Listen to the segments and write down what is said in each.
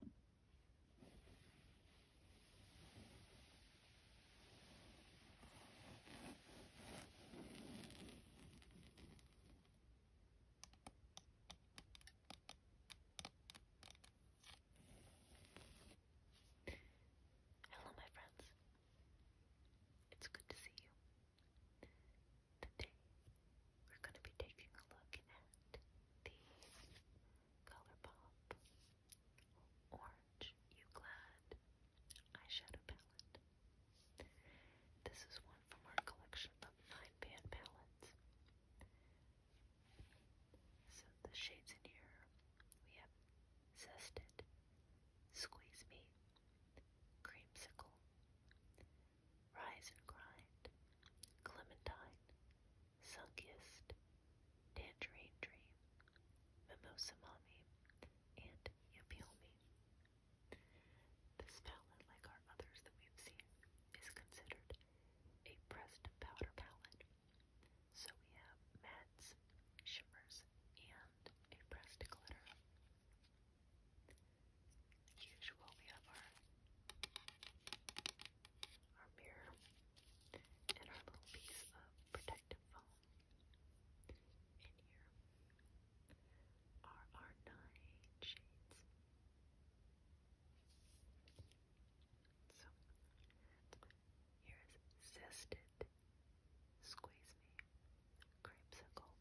Hello, my friends. It's good to see you. Today we're going to be taking a look at the ColourPop Orange Euclid eyeshadow palette. This is one from our collection of fine pan palettes. So the shades in here we have Zested, Squeeze Me, Creamsicle, Rise and Grind, Clementine, Sunkiest, Tangerine Dream, Mimosa Mommy, and Yummy Homie. This palette, like our others that we've seen, is considered a pressed powder palette. So we have mattes, shimmers, and a pressed glitter. As usual, we have our our mirror and our little piece of protective foam in here are our nine shades. So here is zested, squeeze me, creamsicle,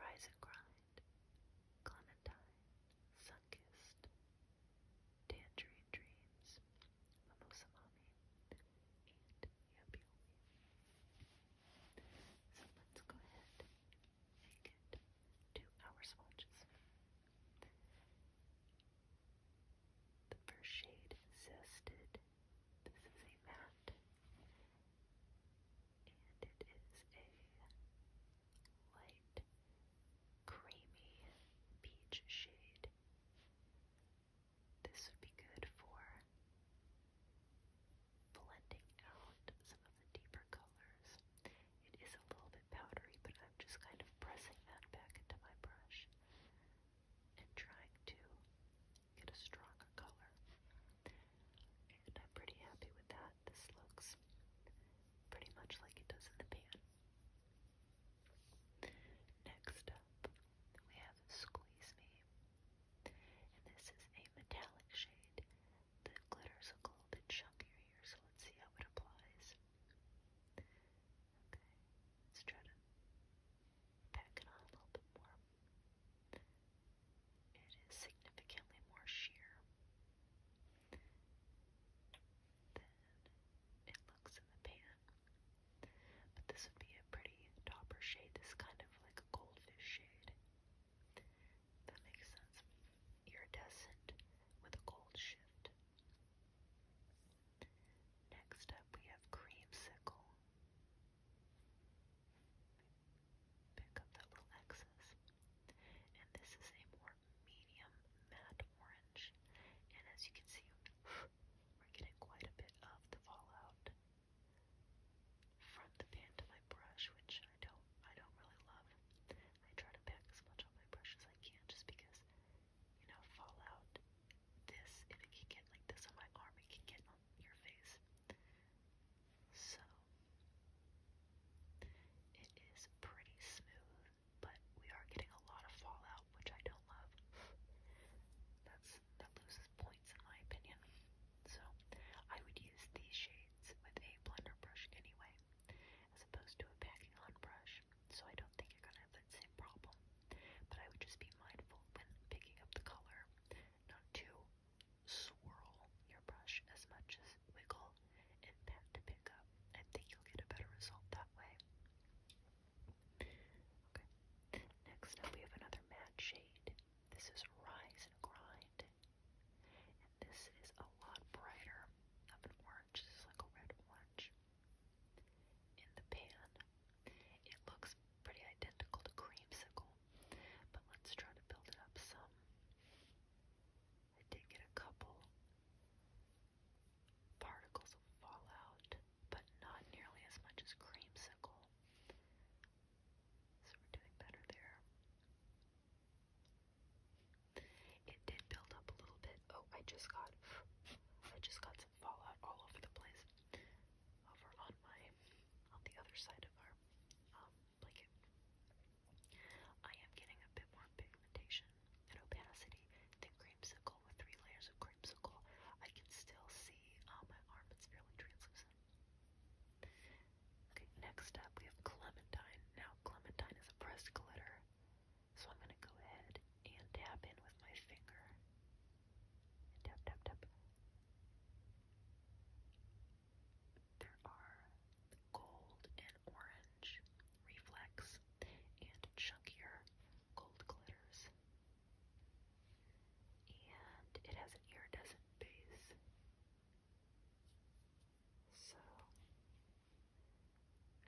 Risogride, Clementine, Sunkist, Tangerine Dreams, Mimosa Mommy, and Yummy So let's go ahead and get to our swatches. The first shade Zested. This is a matte and it is a light creamy peach shade. This would be good for blending out some of the deeper colors. It is a little bit powdery, but I'm just kind of pressing that back into my brush and trying to get a stronger color. And I'm pretty happy with that. This looks pretty much like it does in the pan. Next up, we have Squeeze Me. And this is a metallic shade. that glitter's a gold and chunkier here, so let's see how it applies. Okay, let's try to pack it on a little bit more. It is significantly more sheer than it looks in the pan. But this would be a pretty topper shade. This kind of like a goldfish shade. That makes sense. Iridescent with a gold shift. Next up, we have creamsicle pick up that little excess. And this is a more medium matte orange. And as you can see, we're getting quite a bit of the fallout from the pan to my brush, which I don't I don't really love. I try to pack as much on my brush as I can just because, you know, fallout this if it can get like this on my arm, it can get your face. So it is pretty smooth, but we are getting a lot of fallout, which I don't love. That's that loses points in my opinion. So I would use these shades with a blender brush anyway, as opposed to a packing on brush. So I don't think you're gonna have that same problem. But I would just be mindful when picking up the color not to swirl your brush as much as wiggle and pat to pick up. I think you'll get a better result that way. Okay. Next up, we have another matte shade. This is Rise and Grind. And this is a lot brighter than orange. This is like a red orange. In the pan, it looks pretty identical to creamsicle, but let's try to build it up some. I did get a couple particles of fallout, but not nearly as much as creamsicle. So we're doing better there. It did build up a little bit. Oh, I just got I just got some fallout all over the place over on my on the other side of our um, blanket. I am getting a bit more pigmentation and opacity than creamsicle with three layers of creamsicle. I can still see on uh, my arm; it's fairly translucent. Okay, next up we have clementine. Now clementine is a pressed glitter, so I'm gonna go ahead and tap in with my finger. tap, tap, tap. There are gold and orange reflex and chunkier gold glitters. And it has an iridescent base. So,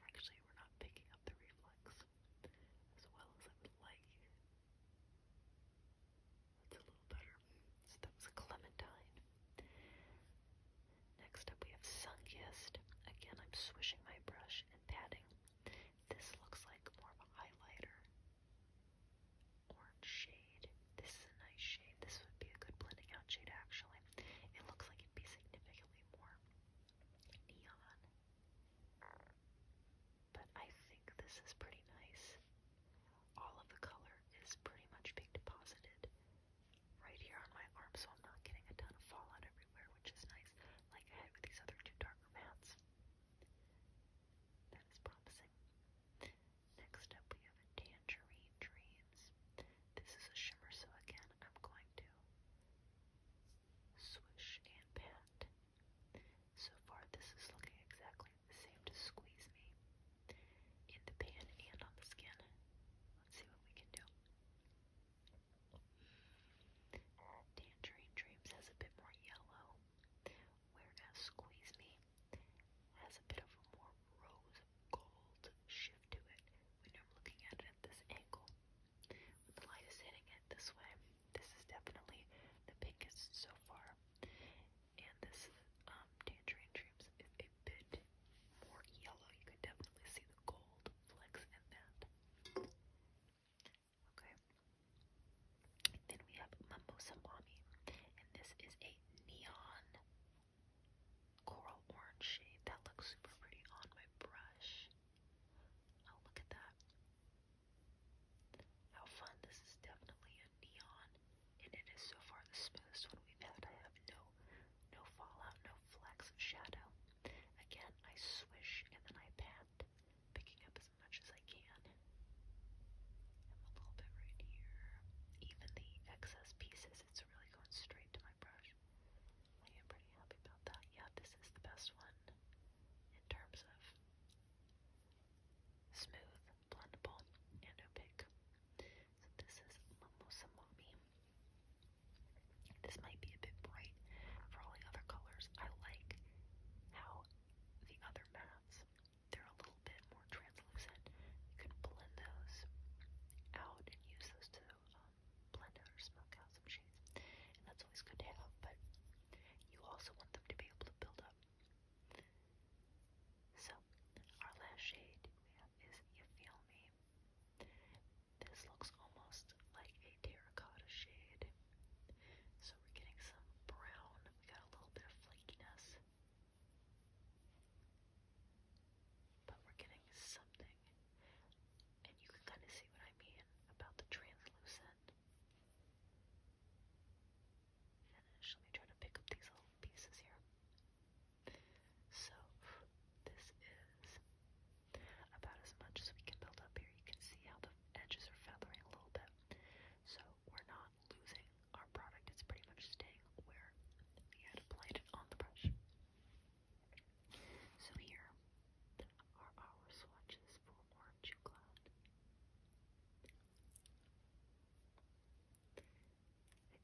actually, we're not picking up the reflex as well as I would like. That's a little better. So that was a clementine. Next up we have Sungest. Again, I'm swishing my brush and patting. This looks like more of a highlighter. Orange shade. This is a nice shade. This would be a good blending out shade actually. It looks like it'd be significantly more neon. But I think this is pretty nice. All of the color is pretty much being deposited right here on my arm, so I'm not getting a ton of fallout everywhere, which is nice, like I had with these other two darker mats. That is promising. Next up, we have a Tangerine Dreams. This is a shimmer, so again, I'm going to swish, and pat. So far, this is looking exactly the same to squeeze me in the pan and on the skin. Let's see what we can do. Tangerine Dreams has a bit more yellow, whereas Squeeze Me has a bit of a more rose gold shift to it when you're looking at it at this angle the light is hitting it this way, this is definitely the pinkest so far. And this um, tangerine dreams is a bit more yellow. You can definitely see the gold flecks in that. Okay. Then we have Mimosa Mommy, and this is a neon coral orange shade. That looks super pretty on my brush. Oh, look at that. How fun. This is definitely a neon, and it is so far the smoothest one we've had. I have no no fallout, no flex of shadow. Again, I swish and then I pat, picking up as much as I can. I'm a little bit right here. Even the excess pieces, it's really going straight to my brush. I am pretty happy about that. Yeah, this is the best one in terms of smooth, blendable, and opaque. So this is Mimosa Mommy. This might be a bit bright for all the other colors. I like how the other mattes, they're a little bit more translucent. You can blend those out and use those to uh, blend out or smoke out some shades. And that's always good to have, but you also want them to be able to build up. So, our last shade we have is You Feel Me. This looks almost like a terracotta shade. So we're getting some brown. We got a little bit of flakiness. But we're getting something. And you can kind of see what I mean about the translucent finish. Let me try to pick up these little pieces here. So, this is about as much as we can build up here. You can see how the edges are feathering a little bit. So, we're not losing our product, it's pretty much staying thing where he had applied it on the brush. So here are our swatches for Orange Cloud.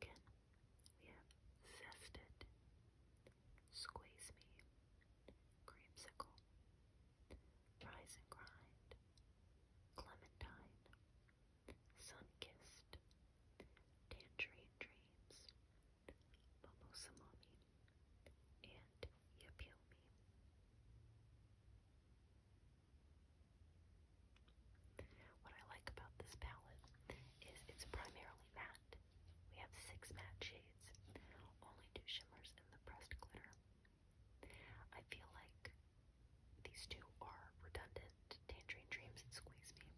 Again, we have Zested, Squeeze Me, Creamsicle, Rise and Grind, Clementine, Sun Kissed, Tangerine Dreams, Mimosa Mommy, and Yapiomi. What I like about this palette is it's primarily matte. We have six matte shades, only two shimmers, and the pressed glitter. I feel like these two are redundant. Tangerine Dreams and Squeeze Me.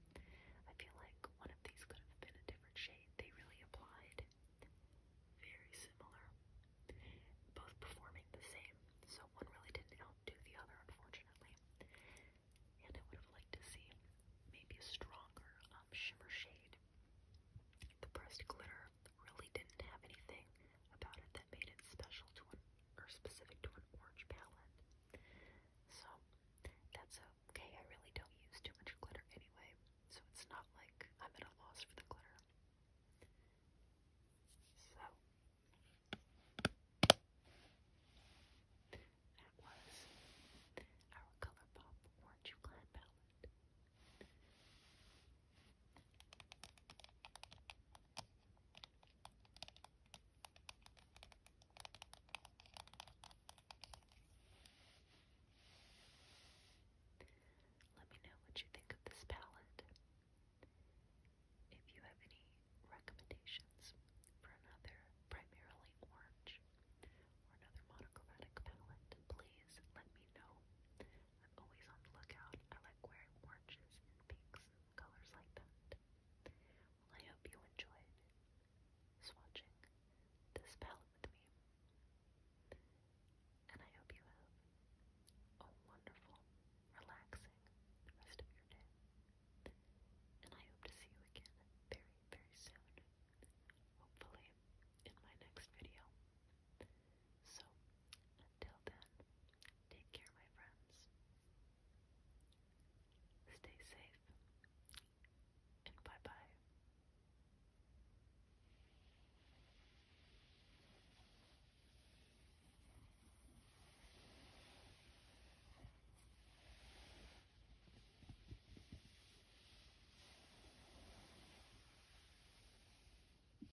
I feel like one of these could have been a different shade. They really applied. Very similar. Both performing the same. So one really didn't outdo the other, unfortunately. And I would have liked to see maybe a stronger um, shimmer shade. The pressed glitter really didn't have anything about it that made it special to an or specific to an orange palette. So that's okay. I really don't use too much glitter anyway, so it's not like I'm at a loss for the glitter. So that was our ColourPop Orange Glam palette. Let me know what you think of this palette. If you have any recommendations for another primarily orange or another monochromatic palette, please let me know. I'm always on the lookout. I like wearing oranges and pinks colors like that. I hope you enjoyed swatching this palette with me. And I hope you have a wonderful, relaxing rest of your day. And I hope to see you again very, very soon. Hopefully in my next video. So, until then. Take care, my friends. Stay safe, and bye bye.